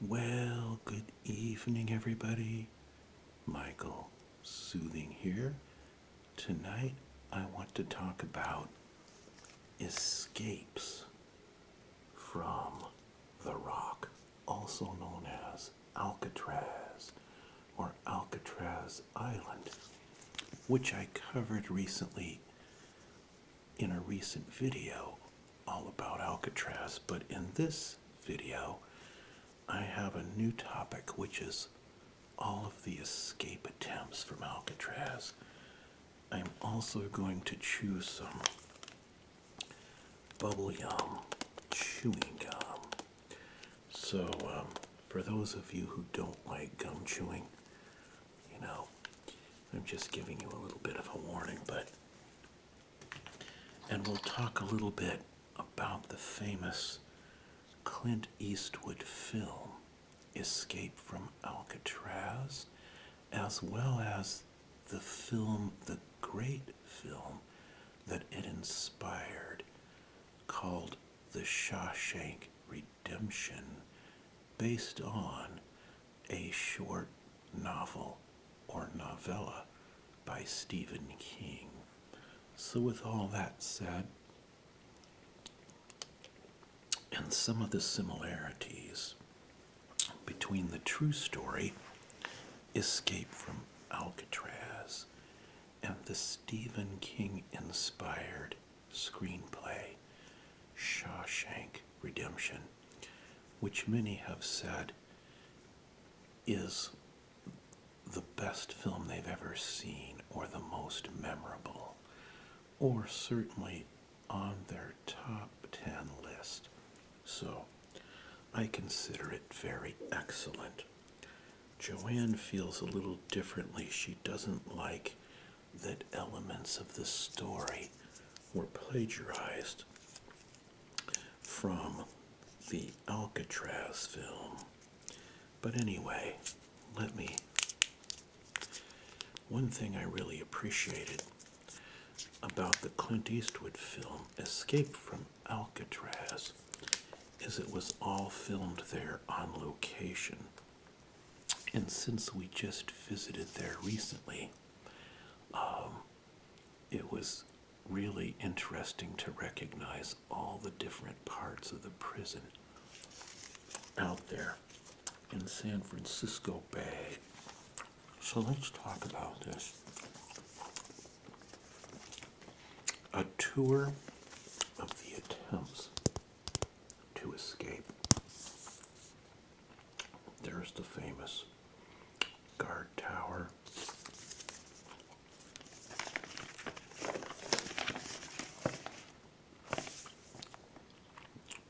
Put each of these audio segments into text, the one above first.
Well, good evening, everybody. Michael Soothing here. Tonight, I want to talk about escapes from the rock, also known as Alcatraz or Alcatraz Island, which I covered recently in a recent video all about Alcatraz, but in this video, I have a new topic which is all of the escape attempts from Alcatraz. I'm also going to choose some bubble yum chewing gum. So, um, for those of you who don't like gum chewing, you know, I'm just giving you a little bit of a warning, but and we'll talk a little bit about the famous Clint Eastwood film, Escape from Alcatraz, as well as the film, the great film that it inspired, called The Shawshank Redemption, based on a short novel or novella by Stephen King. So, with all that said, and some of the similarities between the true story, Escape from Alcatraz, and the Stephen King inspired screenplay, Shawshank redemption, which many have said is the best film they've ever seen or the most memorable, or certainly on their top 10 list. So I consider it very excellent. Joanne feels a little differently. She doesn't like that elements of the story were plagiarized from the Alcatraz film. But anyway, let me. One thing I really appreciated about the Clint Eastwood film Escape from Alcatraz is it was all filmed there on location. And since we just visited there recently, um, it was really interesting to recognize all the different parts of the prison out there in San Francisco Bay. So let's talk about this. A tour of the attempts to escape. There's the famous guard tower.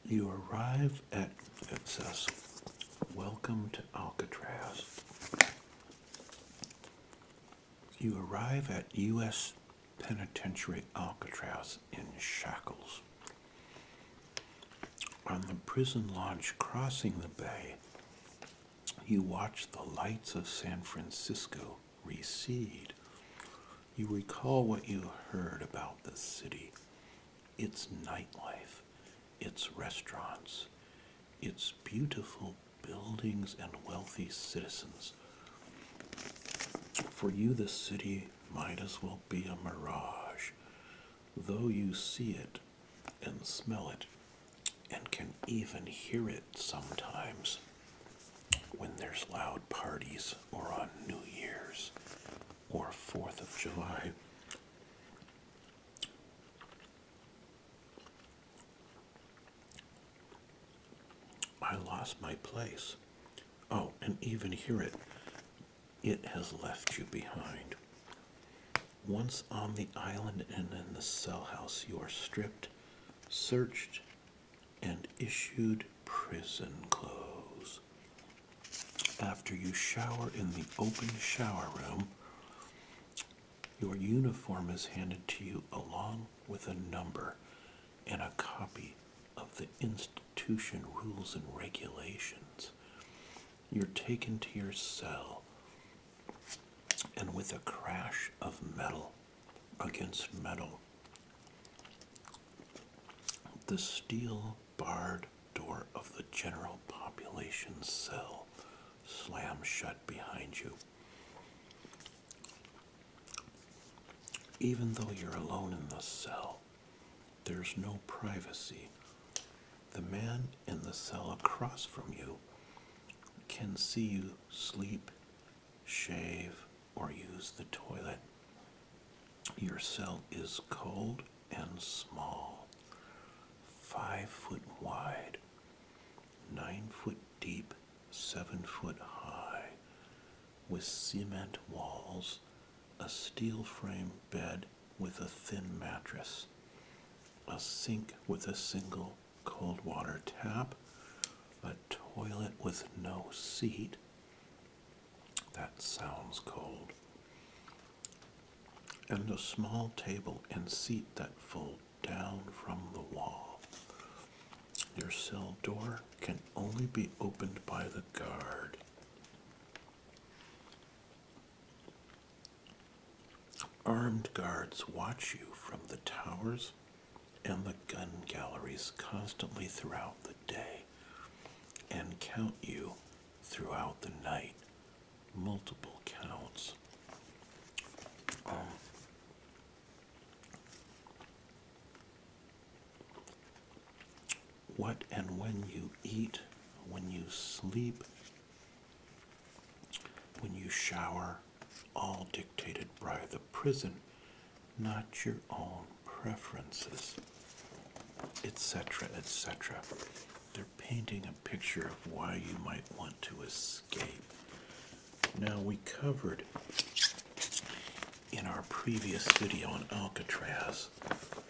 You arrive at, it Welcome to Alcatraz. You arrive at U.S. Penitentiary Alcatraz in shackles on the prison launch crossing the bay, you watch the lights of San Francisco recede. You recall what you heard about the city its nightlife, its restaurants, its beautiful buildings and wealthy citizens. For you, the city might as well be a mirage, though you see it and smell it and can even hear it sometimes when there's loud parties or on New Year's or 4th of July. I lost my place. Oh, and even hear it it has left you behind. Once on the island and in the cell house, you are stripped, searched, and issued prison clothes. After you shower in the open shower room, your uniform is handed to you along with a number and a copy of the institution rules and regulations. You're taken to your cell, and with a crash of metal against metal, the steel barred door of the general population cell slams shut behind you. Even though you're alone in the cell, there's no privacy. The man in the cell across from you can see you sleep, shave, or use the toilet. Your cell is cold and small, five foot wide, nine foot deep, seven foot high, with cement walls a steel frame bed with a thin mattress, a sink with a single cold water tap, a toilet with no seat. That sounds cold. And a small table and seat that fold down from the wall. Your cell door can only be opened by the guard. Armed guards watch you from the towers and the gun galleries constantly throughout the day and count you throughout the night. Multiple counts. Um, what and when you eat, when you sleep, when you shower, all dictated by the prison, not your own preferences, etc., etc. They're painting a picture of why you might want to escape. Now, we covered in our previous video on Alcatraz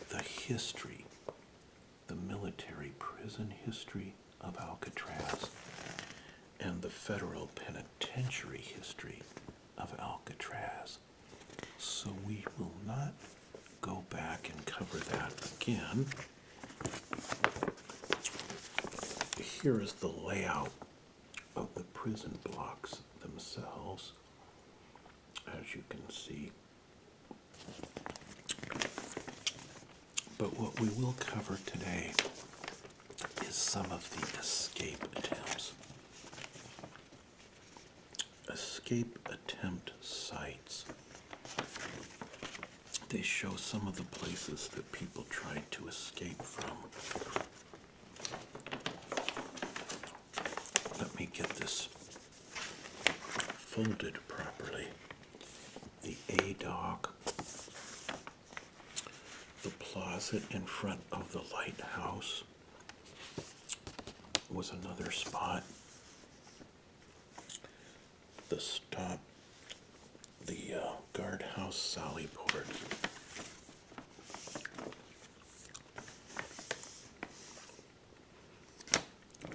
the history the military prison history of Alcatraz and the federal penitentiary history of Alcatraz. So we will not go back and cover that again. Here is the layout of the prison blocks themselves. As you can see, but what we will cover today is some of the escape attempts. Escape attempt sites. They show some of the places that people tried to escape from let me get this folded properly. The A dock, the closet in front of the lighthouse was another spot. The stop, the uh, guardhouse sally port.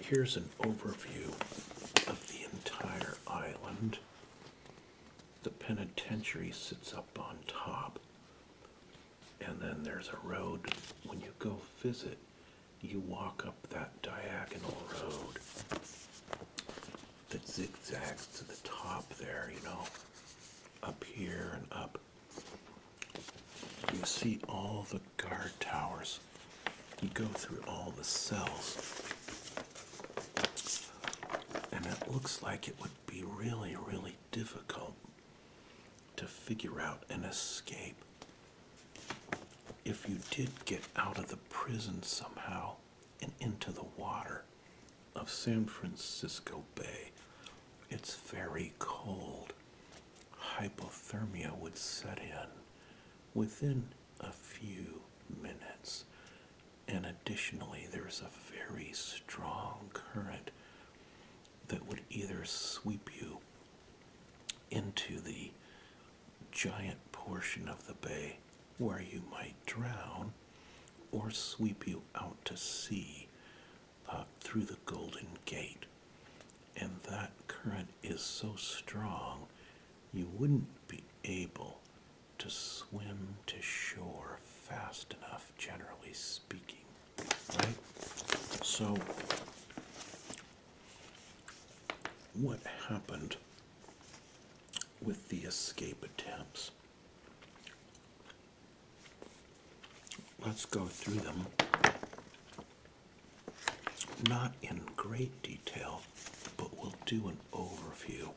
Here's an overview of the entire island. The penitentiary sits up on top, and then there's a road. When you go visit, you walk up that diagonal road that zigzags to the top there, you know, up here and up you see all the guard towers. You go through all the cells. And it looks like it would be really, really difficult to figure out an escape. If you did get out of the prison somehow and into the water of San Francisco Bay, it's very cold hypothermia would set in within a few minutes. And additionally, there's a very strong current that would either sweep you into the giant portion of the bay where you might drown or sweep you out to sea through the Golden Gate. And that current is so strong, you wouldn't be able to swim to shore fast enough, generally speaking. Right? So, what happened with the escape attempts? Let's go through them, not in great detail, but we'll do an overview.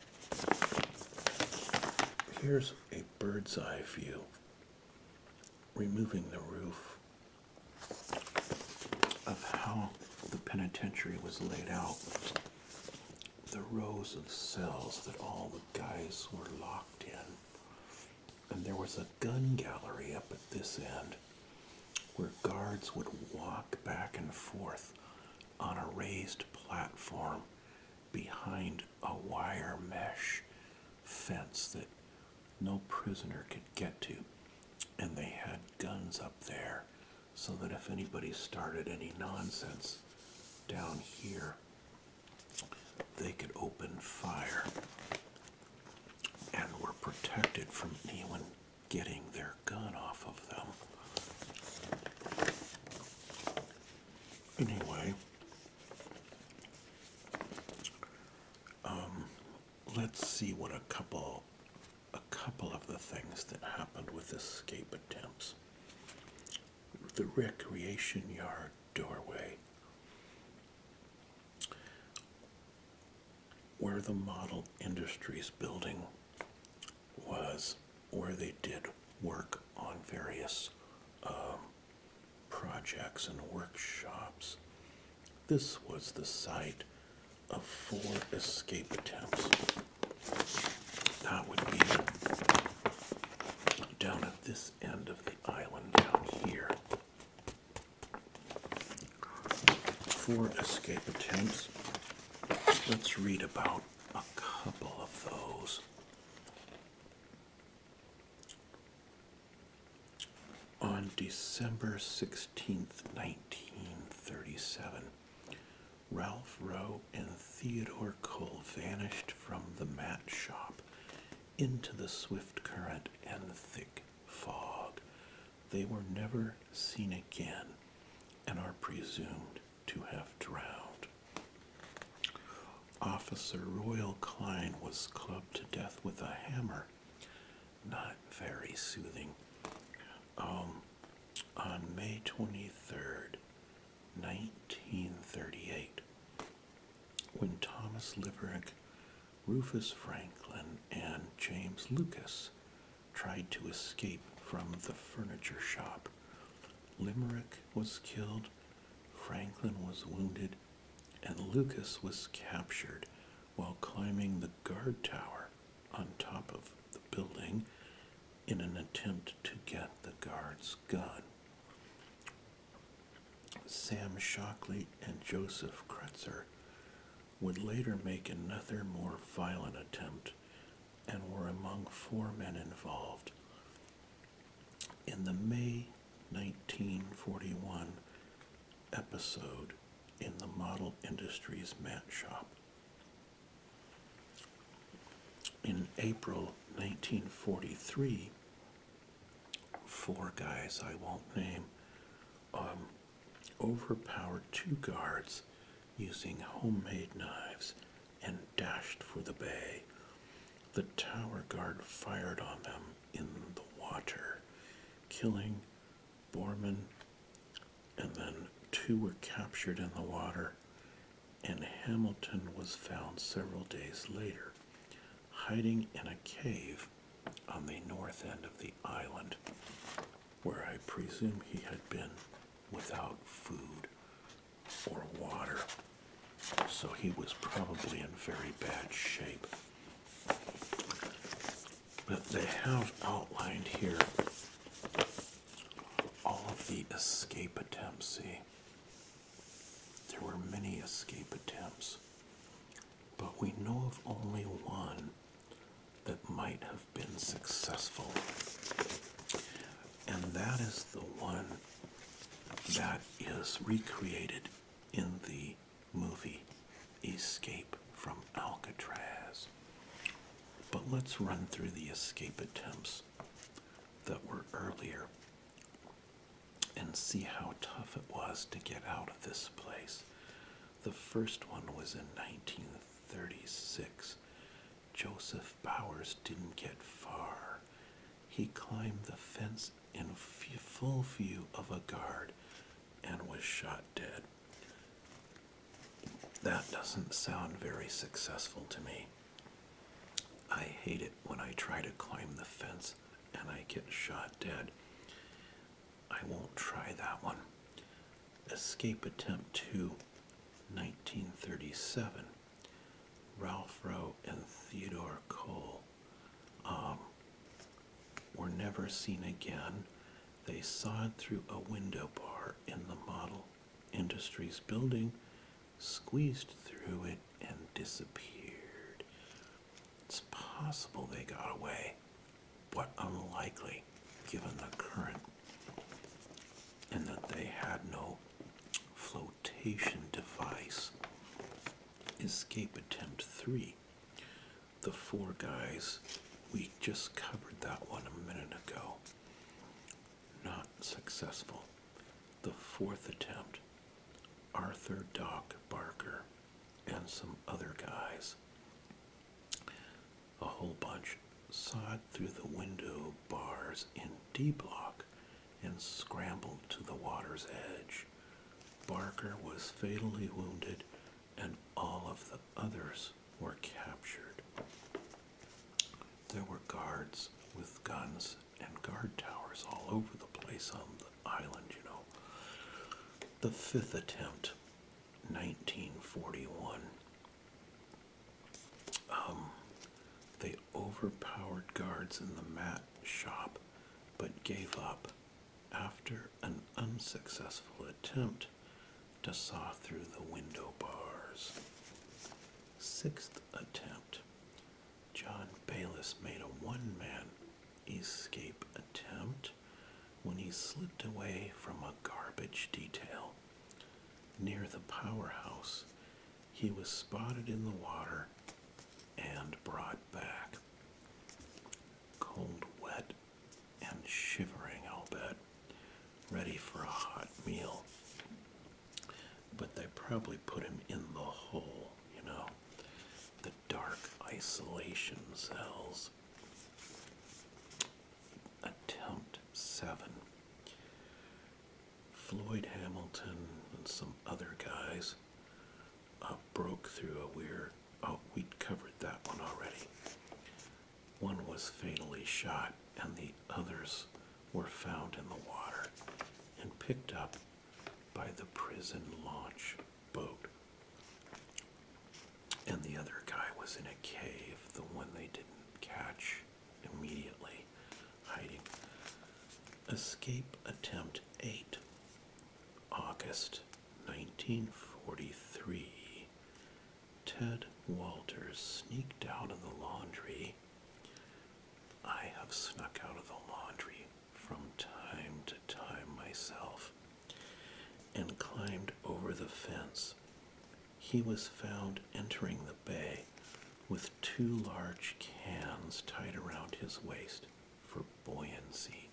Here's a bird's eye view, removing the roof of how the penitentiary was laid out, the rows of cells that all the guys were locked in, and there was a gun gallery up at this end where guards would walk back and forth on a raised platform behind a wire mesh fence that no prisoner could get to. And they had guns up there so that if anybody started any nonsense down here, they could open fire and were protected from anyone getting their gun off of them. Anyway, um, let's see what a couple, a couple of the things that happened with escape attempts. The recreation yard doorway where the model industries building was, where they did work on various um, projects and workshops. This was the site of four escape attempts. That would be down at this end of the island down here. Four escape attempts. Let's read about a couple of those. On December 16th, 1937, Ralph Rowe and Theodore Cole vanished from the mat shop into the swift current and thick fog. They were never seen again and are presumed to have drowned. Officer Royal Klein was clubbed to death with a hammer. Not very soothing. Um, on May 23rd, 1938, when Thomas Limerick, Rufus Franklin, and James Lucas tried to escape from the furniture shop. Limerick was killed, Franklin was wounded, and Lucas was captured while climbing the guard tower on top of the building in an attempt to get the guard's gun. Sam Shockley and Joseph Kretzer would later make another more violent attempt and were among four men involved. In the May 1941 episode in the Model Industries Mat Shop, in April 1943, four guys I won't name um, overpowered two guards using homemade knives and dashed for the bay. The tower guard fired on them in the water, killing Borman, and then two were captured in the water, and Hamilton was found several days later hiding in a cave on the north end of the island, where I presume he had been without food or water, so he was probably in very bad shape. But they have outlined here all of the escape attempts. See, there were many escape attempts, but we know of only one that might have been successful. And that is the one that is recreated in the movie Escape from Alcatraz. But let's run through the escape attempts that were earlier and see how tough it was to get out of this place. The first one was in 1936. Joseph Bowers didn't get far. He climbed the fence in full view of a guard and was shot dead. That doesn't sound very successful to me. I hate it when I try to climb the fence and I get shot dead. I won't try that one. Escape Attempt 2, 1937. Ralph Rowe and Theodore Cole um, were never seen again. They saw it through a window bar in the Model Industries building squeezed through it and disappeared. It's possible they got away, but unlikely given the current and that they had no flotation device. Escape attempt three. The four guys, we just covered that one a minute ago. Not successful the fourth attempt, Arthur Doc Barker and some other guys, a whole bunch, sawed through the window bars in D block and scrambled to the water's edge. Barker was fatally wounded and all of the others were captured. There were guards with guns and guard towers all over the place on the island, you know. The fifth attempt, 1941. Um, they overpowered guards in the mat shop but gave up after an unsuccessful attempt to saw through the window bars. Sixth attempt, John Bayless made a one man escape attempt when he slipped away from a garbage detail. Near the powerhouse, he was spotted in the water and brought back. Cold, wet, and shivering, i bet, ready for a hot meal but they probably put him in the hole, you know, the dark isolation cells. Attempt seven. Floyd Hamilton and some other guys uh, broke through a weir. Oh, we'd covered that one already. One was fatally shot, and the others were found in the water and picked up by the prison launch boat. And the other guy was in a cave, the one they didn't catch immediately, hiding. Escape Attempt 8, August 1943. Ted Walters sneaked out of the laundry I have snuck out of the laundry from time to time myself and climbed over the fence. He was found entering the bay with two large cans tied around his waist for buoyancy.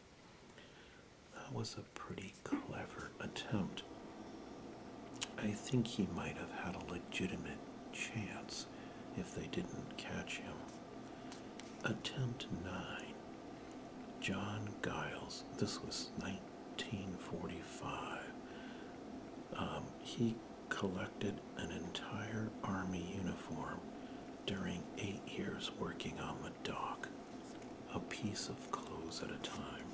That was a pretty clever attempt. I think he might have had a legitimate chance if they didn't catch him. Attempt 9. John Giles. This was 1945. Um, he collected an entire army uniform during eight years working on the dock, a piece of clothes at a time.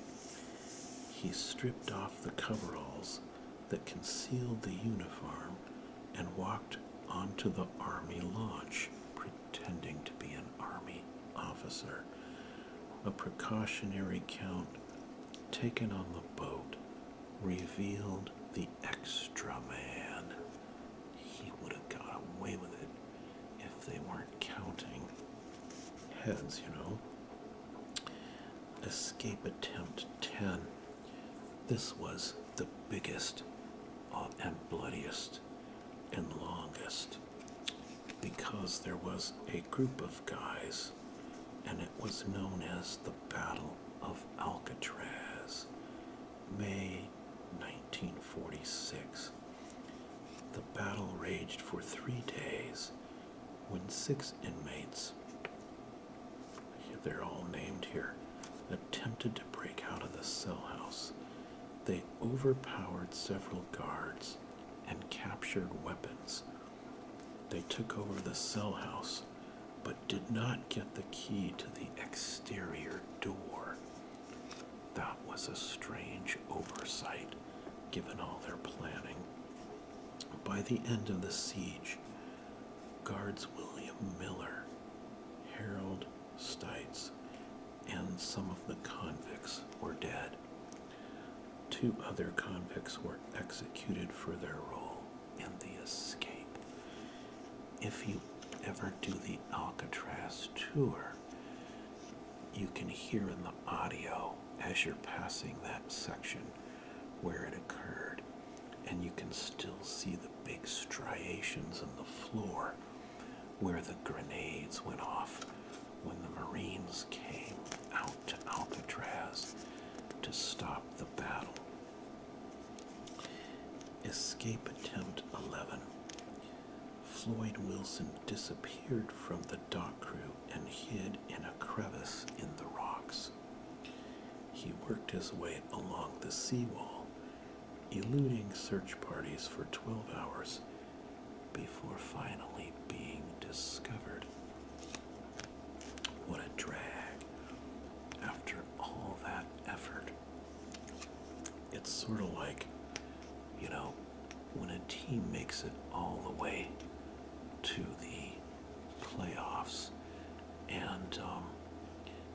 He stripped off the coveralls that concealed the uniform and walked onto the army launch, pretending to be an army officer. A precautionary count taken on the boat revealed the extra man. He would have got away with it if they weren't counting heads, you know. Escape attempt 10. This was the biggest uh, and bloodiest and longest because there was a group of guys and it was known as the Battle of Alcatraz, May 1946. The battle raged for three days when six inmates they're all named here, attempted to break out of the cell house. They overpowered several guards and captured weapons. They took over the cell house but did not get the key to the exterior door. That was a strange oversight given all their planning. By the end of the siege, guards William Miller, Harold Stites, and some of the convicts were dead. Two other convicts were executed for their role in the escape. If you ever do the Alcatraz tour, you can hear in the audio as you're passing that section where it occurred, and you can still see the big striations on the floor where the grenades went off when the Marines came out to Alcatraz to stop the battle. Escape attempt 11. Floyd Wilson disappeared from the dock crew and hid in a crevice in the rocks. He worked his way along the seawall, eluding search parties for 12 hours before finally being discovered. What a drag after all that effort. It's sort of like, you know, when a team makes it all the way to the playoffs and um,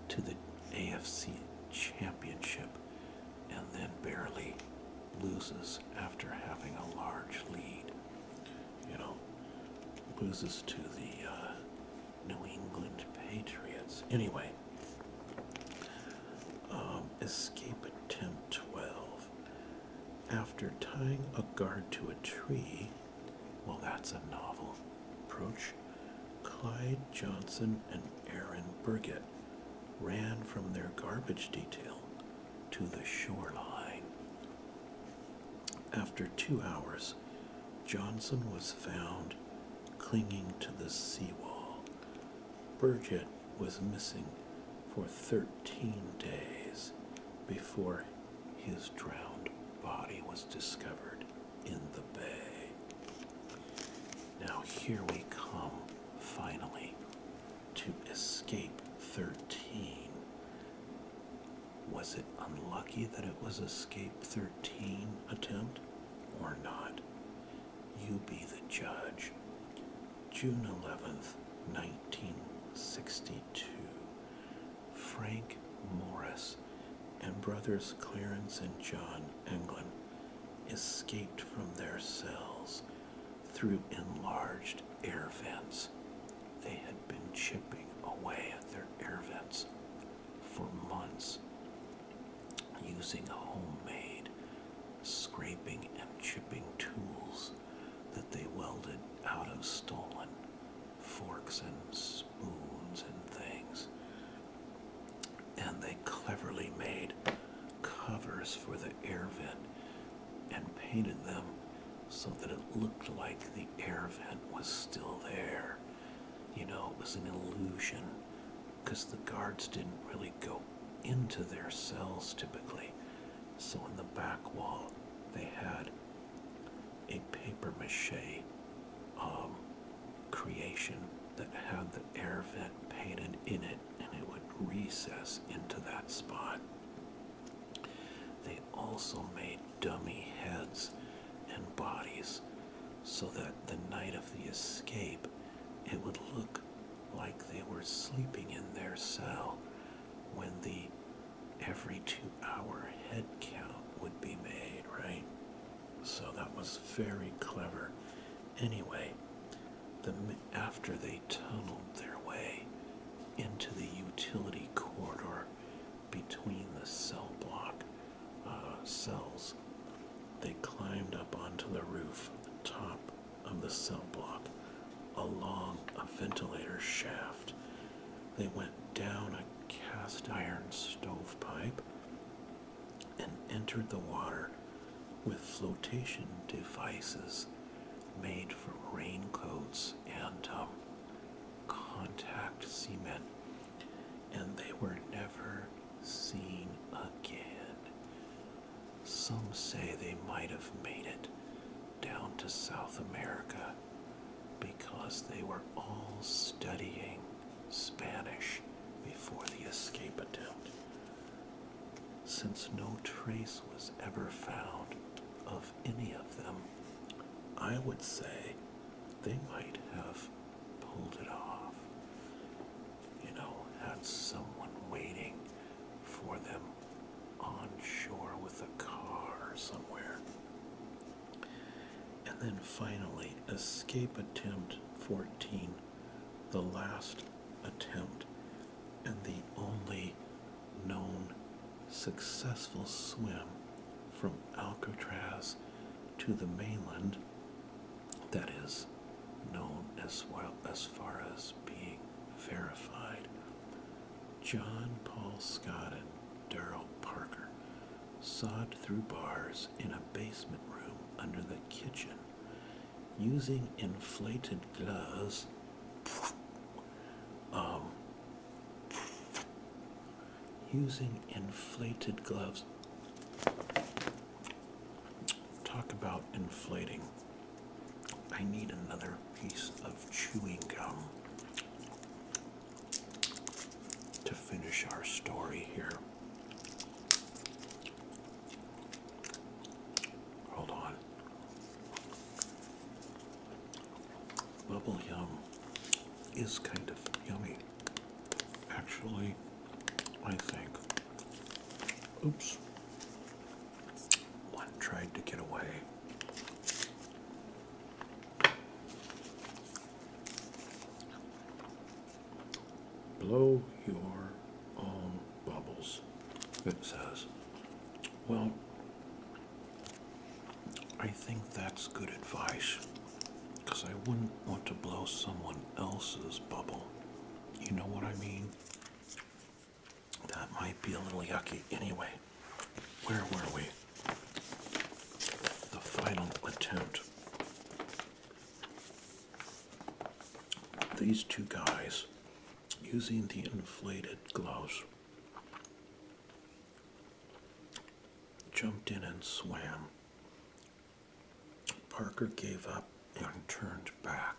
to the AFC championship and then barely loses after having a large lead. You know, loses to the uh, New England Patriots. Anyway, um, escape attempt 12. After tying a guard to a tree, well, that's a novel approach. Clyde Johnson and Aaron Burgett ran from their garbage detail to the shoreline. After two hours, Johnson was found clinging to the seawall. Burgett was missing for 13 days before his drowned body was discovered in the bay. Now, here we come finally to Escape 13. Was it unlucky that it was Escape 13 attempt or not? You be the judge. June 11th, 1962. Frank Morris, and brothers Clarence and John Englund escaped from their cells through enlarged air vents. They had been chipping away at their air vents for months using homemade scraping and chipping tools that they welded out of stolen forks and spoons and things. And they cleverly made covers for the air vent and painted them so that it looked like the air vent was still there. You know, it was an illusion because the guards didn't really go into their cells typically. So in the back wall, they had a paper mache um, creation that had the air vent painted in it and it would recess into that spot. They also made dummy heads and bodies so that the night of the escape it would look like they were sleeping in their cell when the every two hour head count would be made, right? So that was very clever. Anyway, after they tunneled their way into the utility corridor between the cell block uh, cells, they climbed up onto the roof, top of the cell block, along a ventilator shaft. They went down cast iron stovepipe and entered the water with flotation devices made from raincoats and um, contact cement, and they were never seen again. Some say they might have made it down to South America because they were all studying Spanish before the escape attempt. Since no trace was ever found of any of them, I would say they might have pulled it off. You know, had someone waiting for them on shore with a car somewhere. And then finally, escape attempt 14, the last attempt and the only known successful swim from Alcatraz to the mainland that is known as far as being verified John Paul Scott and Daryl Parker sawed through bars in a basement room under the kitchen using inflated gloves. Um, using inflated gloves. Talk about inflating. I need another piece of chewing gum to finish our story here. Hold on. Bubble Yum is kind of yummy. Actually, I think. Oops. One tried to get away. Blow your own bubbles, it says. Well, I think that's good advice because I wouldn't want to blow someone else's bubble. You know what I mean? That might be a little yucky anyway. Where were we? The final attempt. These two guys using the inflated gloves jumped in and swam. Parker gave up and turned back,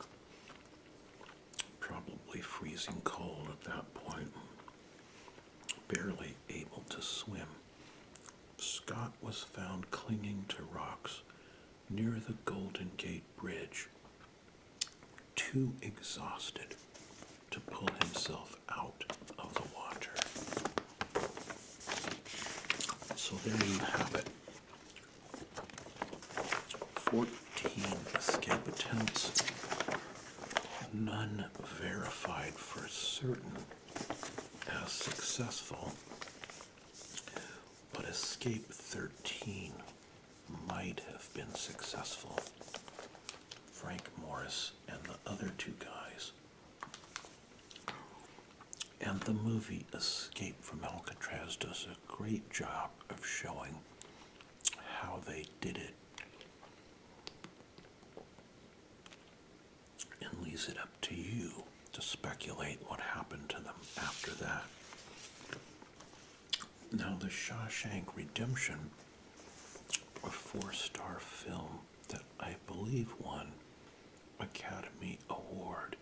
probably freezing cold at that point barely able to swim. Scott was found clinging to rocks near the Golden Gate Bridge, too exhausted to pull himself out of the water. So there you have it. 14 escape attempts none verified for certain as successful, but Escape 13 might have been successful. Frank Morris and the other two guys. And the movie Escape from Alcatraz does a great job of showing how they did it and leaves it up to you to speculate what happened to them after that. Now, the Shawshank Redemption, a four star film that I believe won Academy Award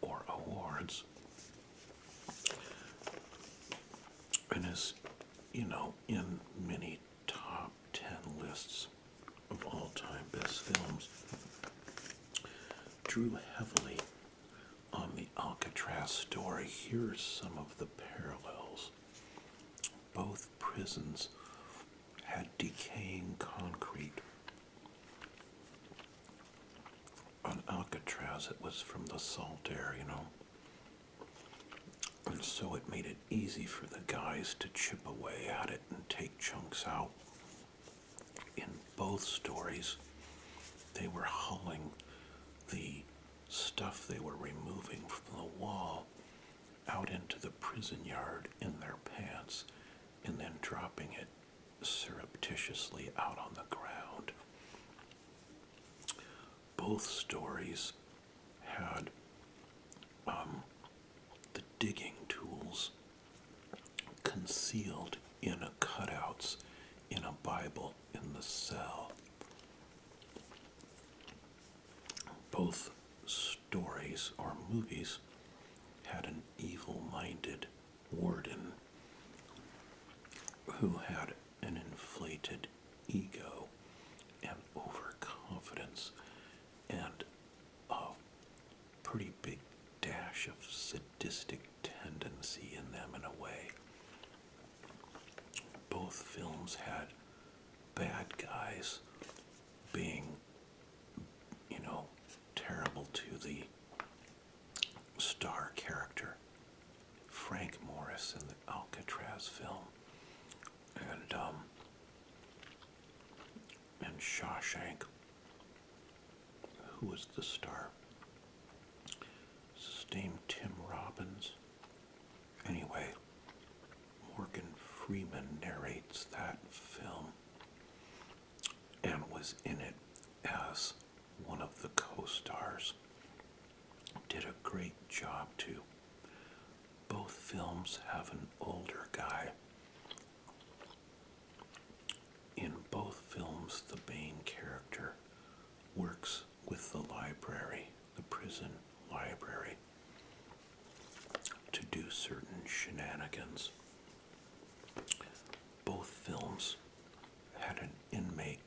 or awards, and is you know, in many top 10 lists of all time best films, drew heavily on the Alcatraz story. Here are some of the parallels. Both prisons had decaying concrete. On Alcatraz, it was from the salt air, you know. And so it made it easy for the guys to chip away at it and take chunks out. In both stories, they were hauling the stuff they were removing from the wall out into the prison yard in their pants and then dropping it surreptitiously out on the ground both stories had um, the digging tools concealed in cutouts in a Bible in the cell. Both stories or movies had an evil minded warden who had an inflated ego and overconfidence and a pretty big dash of sadistic tendency in them in a way. Both films had bad guys being, you know, terrible to the star character. Frank Morris in the Alcatraz film, and um, and Shawshank, who was the star? His Tim Robbins. Anyway, Morgan Freeman narrates that film and was in it as one of the co-stars did a great job too. Both films have an older guy. In both films, the main character works with the library, the prison library, to do certain shenanigans. Both films had an inmate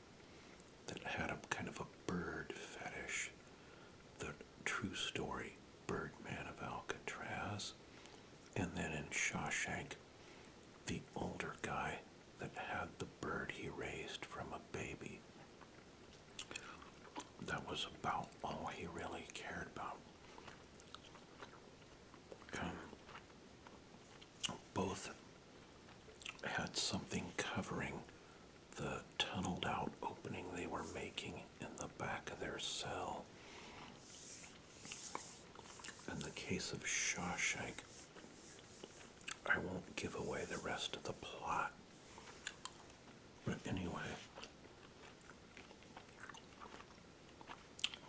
that had a kind of a bird fetish. The true story, Birdman of Alcatraz. And then in Shawshank, the older guy that had the bird he raised from a baby. That was about all he really cared about. Um, both had something covering the tunneled out opening they were making in the back of their cell. In the case of Shawshank, I won't give away the rest of the plot. But anyway,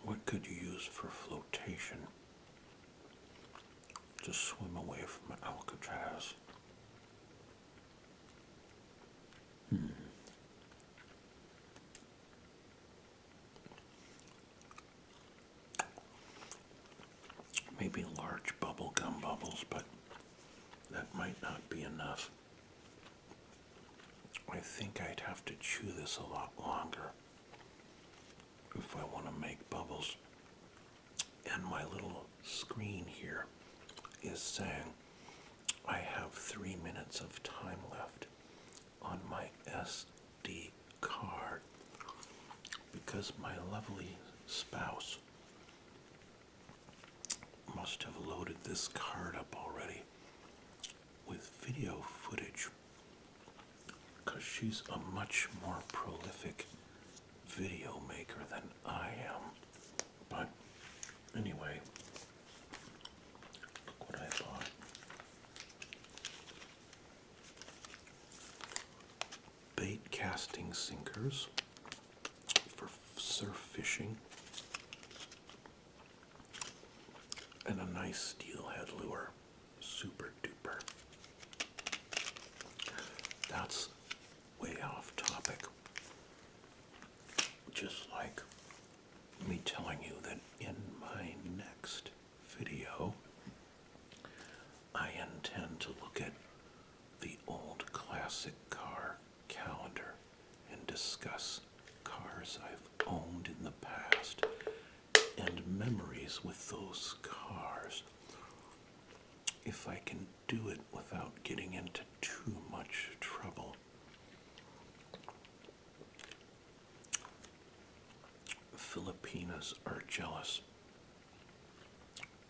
what could you use for flotation just swim away from Alcatraz. Hmm. Maybe large bubble gum bubbles, but that might not be enough. I think I'd have to chew this a lot longer if I want to make bubbles. And my little screen here is saying I have three minutes of time left on my SD card because my lovely spouse must have loaded this card up already with video footage because she's a much more prolific video maker than I am. But anyway, look what I bought. Bait casting sinkers for surf fishing. And a nice steelhead lure super duper. That's way off topic. Just like me telling you that in my next video, I intend to look at the old classic car calendar and discuss cars I've owned in the past and memories with those cars if I can do it without getting into too much trouble. Filipinas are jealous.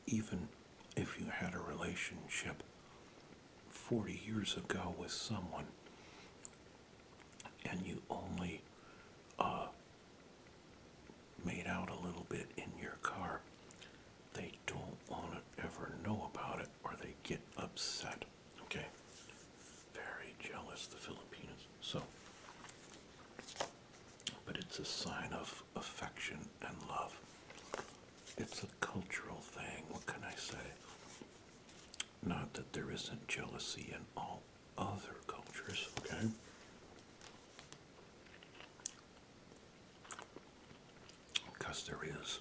Even if you had a relationship 40 years ago with someone and you only uh, made out a little bit in your car, they don't want to ever know about it or they get upset. Okay? Very jealous, the Filipinos. So, but it's a sign of affection and love. It's a cultural thing, what can I say? Not that there isn't jealousy in all other cultures, okay? Because there is.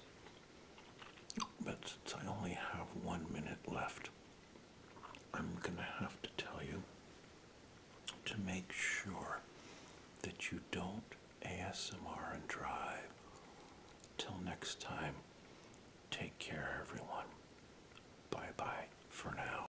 But since I only have one minute left, I'm going to have to tell you to make sure that you don't ASMR and drive. Till next time, take care, everyone. Bye bye for now.